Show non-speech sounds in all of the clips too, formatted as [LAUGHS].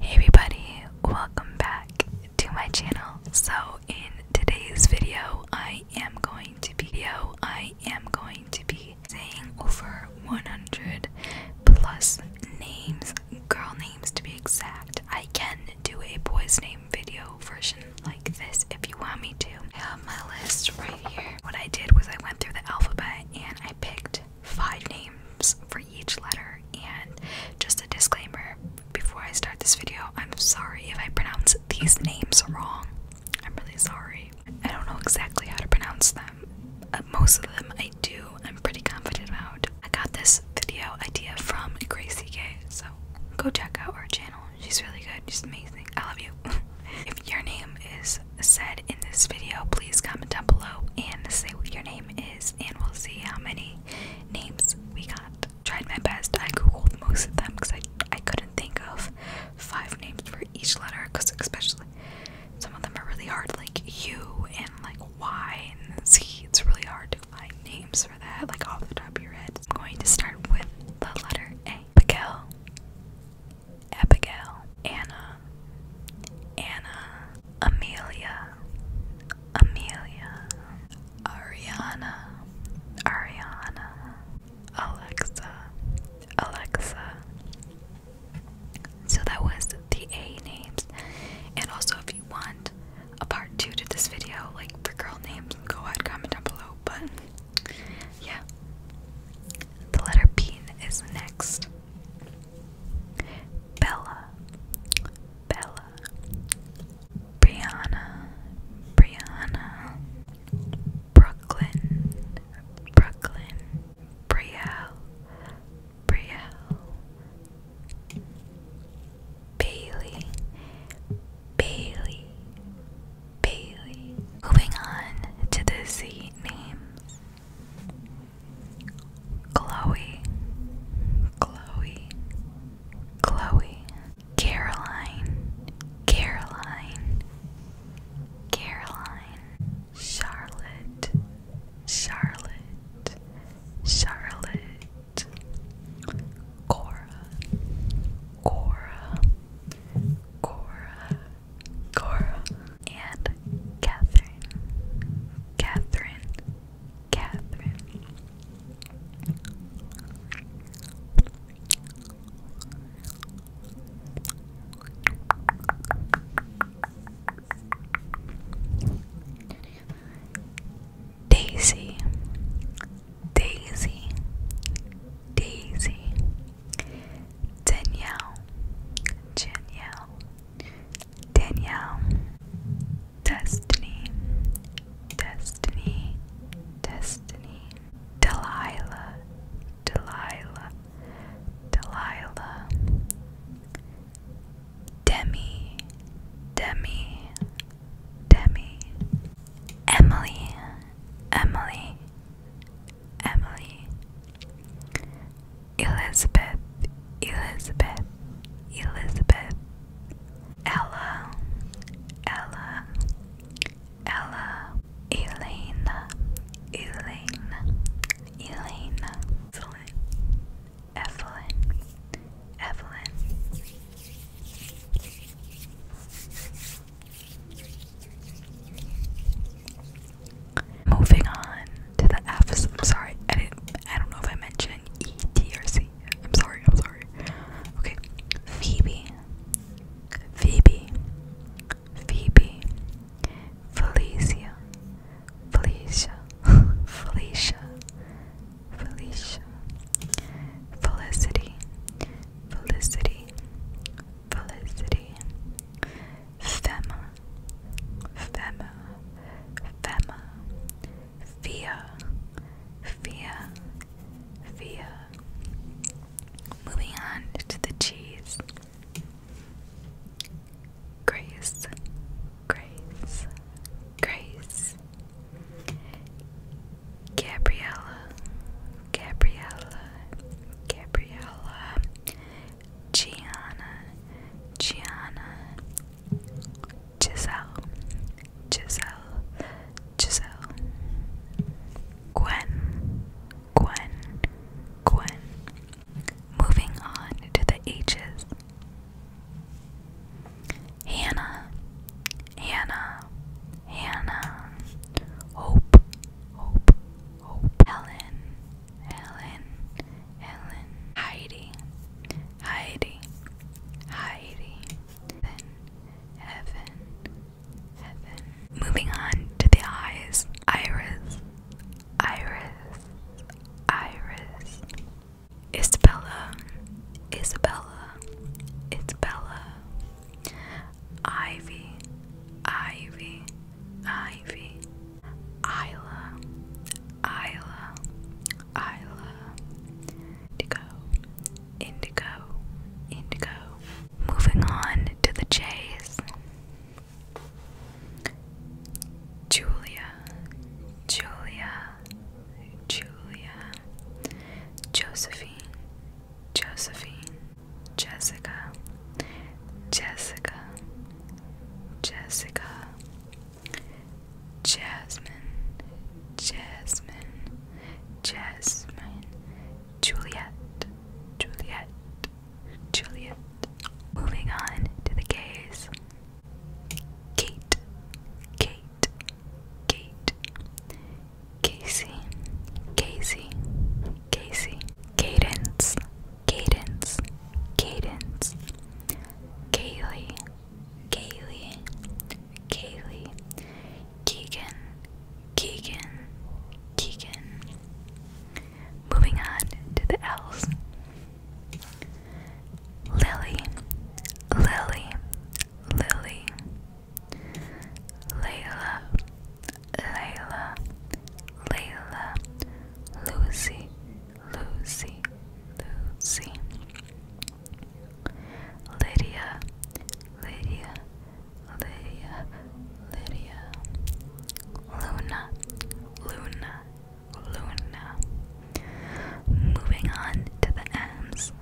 Hey everybody, welcome back to my channel. So in today's video, I am going to be video, I am going to be saying over 100 plus names, girl names to be exact. I can do a boys name video version like this if you want me to. I have my list right here. What I did was I went through the alphabet and I picked five names for each letter. And just a disclaimer before I start this video, I'm sorry if I pronounce these names wrong. I'm really sorry. I don't know exactly how to pronounce them. Uh, most of them I do, I'm pretty confident about. I got this video idea from Gracie Gay, so go check out her channel. She's really good, she's amazing. I love you. [LAUGHS] if your name is said in this video, please comment down below and say what your name is and we'll see how many names we got. Tried my best. I googled most of them because I, I couldn't think of five names for each letter because especially some of them are really hard like U and like Y and Z. It's really hard to find names for that like off the top of your head. I'm going to start with the letter A. Abigail. Abigail. Anna. Anna. Amelia, Amelia, Ariana, Ariana, Alexa, Alexa. So that was the A names. And also, if you want a part two to this video, like for girl names, go ahead, comment down below. But yeah, the letter P is next. Bella, Bella, Brianna, Brianna, Brooklyn, Brooklyn, Brielle, Brielle, Bailey, Bailey, Bailey. Moving on to the Z names. Chloe, Chloe, Chloe, Caroline, Caroline, Caroline, Charlotte, Charlotte, Charlotte, Cora, Cora, Cora, Cora, and Catherine, Catherine, Catherine. Daisy, Daisy, Daisy, Danielle, Danielle, Danielle, Destiny, Destiny, Destiny, Delilah, Delilah, Delilah, Demi, Demi, Demi, Emily, Emily, Emily, Elizabeth, Elizabeth, Elizabeth, Ella, Ella, Ella, Elena, Elena, Elena, Evelyn, Evelyn, Evelyn. Moving on to the F's. I'm sorry, I I don't know if I mentioned E, T, or C. I'm sorry. I'm sorry. Okay, Phoebe, Phoebe, Phoebe, Felicia, Felicia, [LAUGHS] Felicia, Felicia, Felicity, Felicity, Felicity. Femme, Femme, Femme, Fear, Fear, Fear. Moving on to the cheese. Grace, Grace, Grace. Gabriella, Gabriella, Gabriella. Gianna, Gianna, Giselle, Giselle, Giselle, Gwen, Gwen, Gwen. Moving on to the H's. Hannah, Hannah, Hannah, Hope, Hope, Hope, Helen, Ellen, Ellen, Heidi, Heidi, Heidi, Evan, Evan, Evan. Moving on to the eyes, Iris, Iris, Iris, Isabella, Isabella, Isabella, Ivy, Ivy, Ivy. Isla, Isla, Isla, Indigo, Indigo, Indigo. Moving on to the J's. Julia, Julia, Julia, Josephine, Josephine, Jessica, Jessica, Jessica, Jasmine, Jasmine, Jasmine, Juliet, Juliet, Juliet. Moving on to the case. Kate, Kate, Kate, Casey, Casey, Casey. Cadence. Cadence. Cadence. Kaylee. Kaylee. Kaylee. Keegan. Keegan. Keegan. Moving on to the L's. Lily. Lily. Lily. Layla. Layla, Layla, Lucy, Lucy, Lucy, Lydia, Lydia, Lydia, Lydia, Luna, Luna, Luna. Moving on to the M's.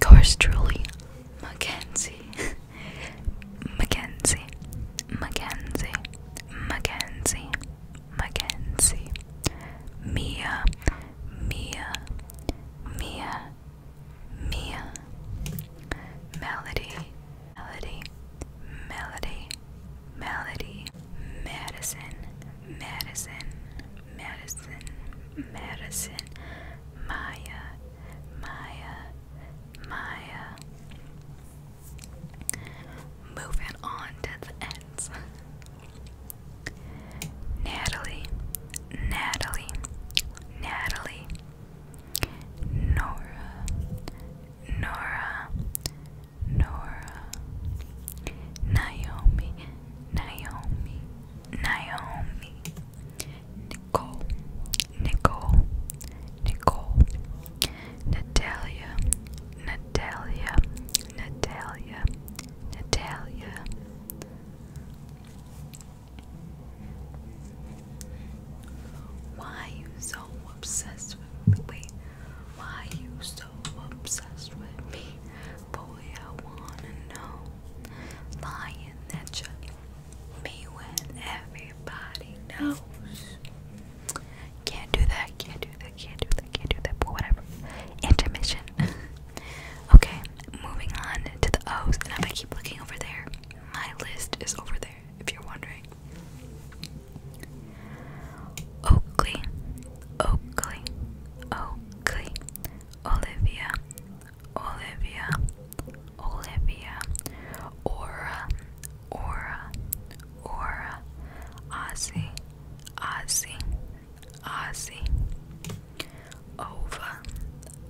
course, truly, Mackenzie. [LAUGHS] Mackenzie, Mackenzie, Mackenzie, Mackenzie, Mia, Mia, Mia, Mia, Melody, Melody, Melody, Melody, Madison, Madison, Madison, Madison, Maya. Maya, Maya. Moving on to the ends. Natalie, Natalie, Natalie. Nora, Nora, Nora. Naomi, Naomi, Naomi. Nicole, Nicole, Nicole, Natalia, Natalia, Natalia, Natalia. Why are you so obsessed with me? Wait, why are you so obsessed with me? Boy, I wanna know. Lying that you me when everybody knows. Can't do that, can't do that, can't do that, can't do that, but whatever. Intermission. [LAUGHS] okay, moving on to the O's, and if I keep looking over there, my list is over there, if you're wondering. Oakley, Oakley, Oakley, Olivia, Olivia, Olivia, Aura, Aura, Aura, Ozzy, Ozzy, Ozzy, Ova,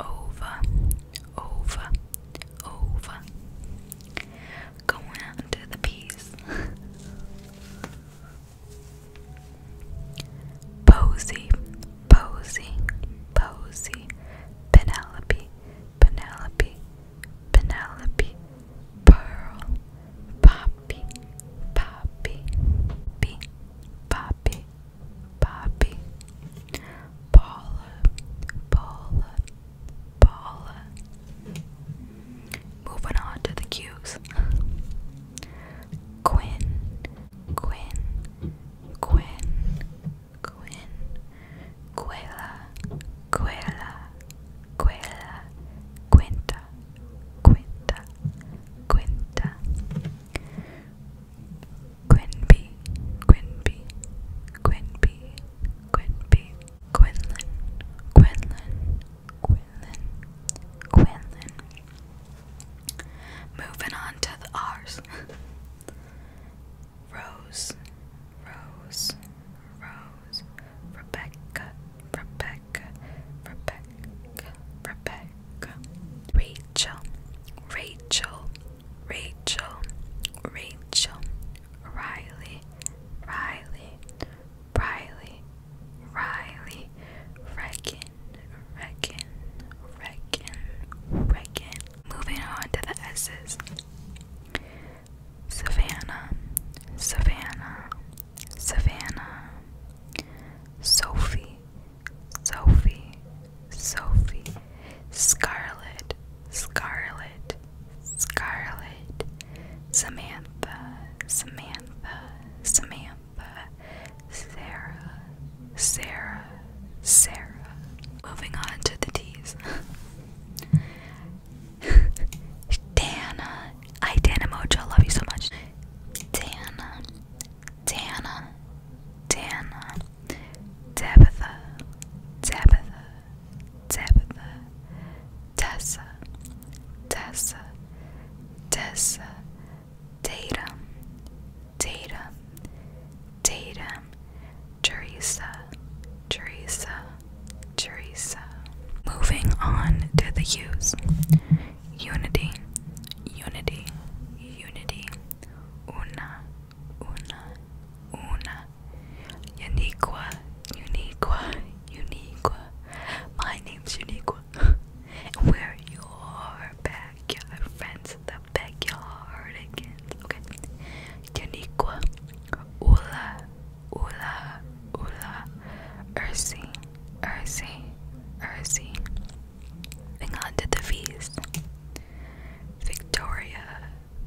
Ova, Ova, Ova, going into the peace. [LAUGHS] Posey, Posey, Posey, Penelope, Penelope, Penelope, Pearl, Poppy, Poppy, Bee, Poppy, Poppy, Paula, Paula, Paula. Moving on to the cubes. Quinn, Quinn, Quinn, Quin Quella Quella Quella Quinta Quinta Quinta Quinby Quinby Quinby Quinby Quinlan Quinlan Quinlan Quinlan Moving on to the R's [LAUGHS] Rose, Rose, Rose, Rebecca, Rebecca, Rebecca, Rebecca, Rachel, Rachel, Rachel, Rachel, Riley, Riley, Riley, Riley, Regan, Regan, Regan, Regan, Moving on to the S's Savannah, Savannah, Savannah, Sophie, Sophie, Sophie, Scarlet, Scarlet, Scarlet, Samantha, Samantha, Samantha, Sarah, Sarah, Sarah. Moving on to the T's. [LAUGHS] Dana, I Dana Mojo, love you so much. Dana, Dana, Dana, Tabitha, Tabitha, Tabitha, Tessa, Tessa, Tessa, Data, Data, Data, Teresa, Teresa, Teresa. Moving on to the hues. Unity, Unity, Unity. Una, una, una. Uniqua, uniqua, uniqua. My name's Uniqua. [LAUGHS] We're your backyard friends the backyard again. Okay. Yaniqua, Ula, Ula, Ula, Ursi, Ursi, Ursi. Hang on to the feast, Victoria,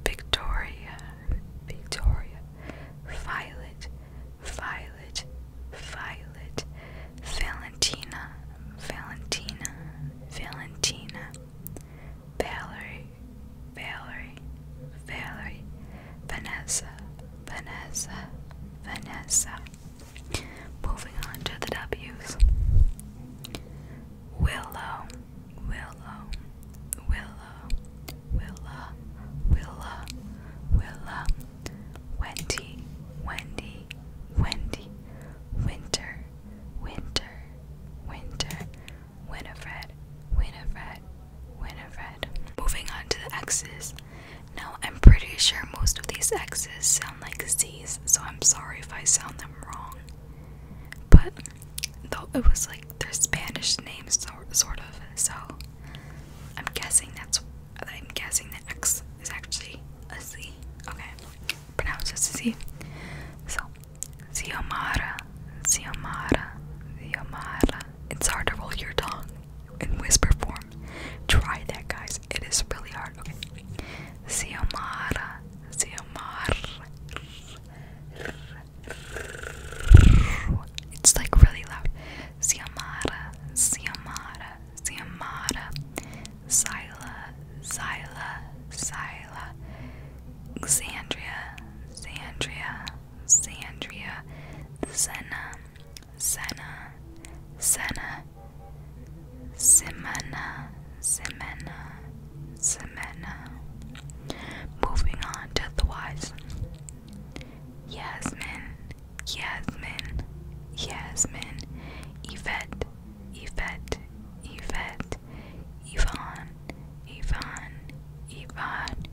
Victoria, Victoria, Violet, Violet, Violet, Valentina, Valentina, Valentina, Valerie, Valerie, Valerie, Vanessa, Vanessa, Vanessa. Moving on to the W's. Willow, Willow, Willow, Willa, Willa, Willa, Wendy, Wendy, Wendy, Winter, winter, winter, Winifred, Winifred, Winifred. Moving on to the X's. Now, I'm pretty sure most of these X's sound like Z's, so I'm sorry if I sound them wrong. But though it was like their Spanish names, sort of, so I'm guessing that's. I'm guessing the X is actually a Z. Okay pronounce as Z. So, Ziomara, Ziomara, Ziomara. It's hard to roll your tongue in whisper form. Try that, guys. It is really hard. Okay. Ziomara, Ziomara. It's like really loud. Ziomara, Ziomara, Ziamada, Sila, Sila, Sila, Xandria, Xandria, Sandria, Zena, Zena, Zena, Simena, Simena, Simena. Moving on to the wise. Yasmin, Yasmin, Yasmin, Yvette, Yvette, Yvette, Yvonne, Yvonne, Yvonne,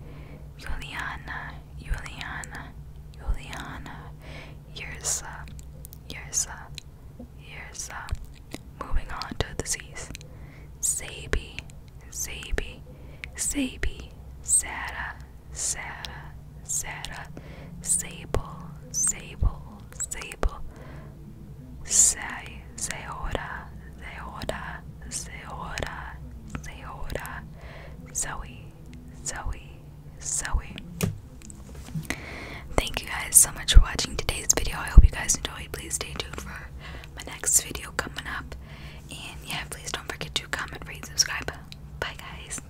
Juliana, Juliana, Juliana, Yursa, Yursa, Yursa. Moving on to the Z's. Sabi, Sabi, Sabi, Sarah, Sarah, Sarah, Sable, Sable, Sable, Sai, Seora, Seora, Seora, Seora, Zoe, Zoe, Zoe. Thank you guys so much for watching today's video. I hope you guys enjoyed. Please stay tuned for my next video coming up. And yeah, please don't forget to comment, rate, subscribe. Bye, guys.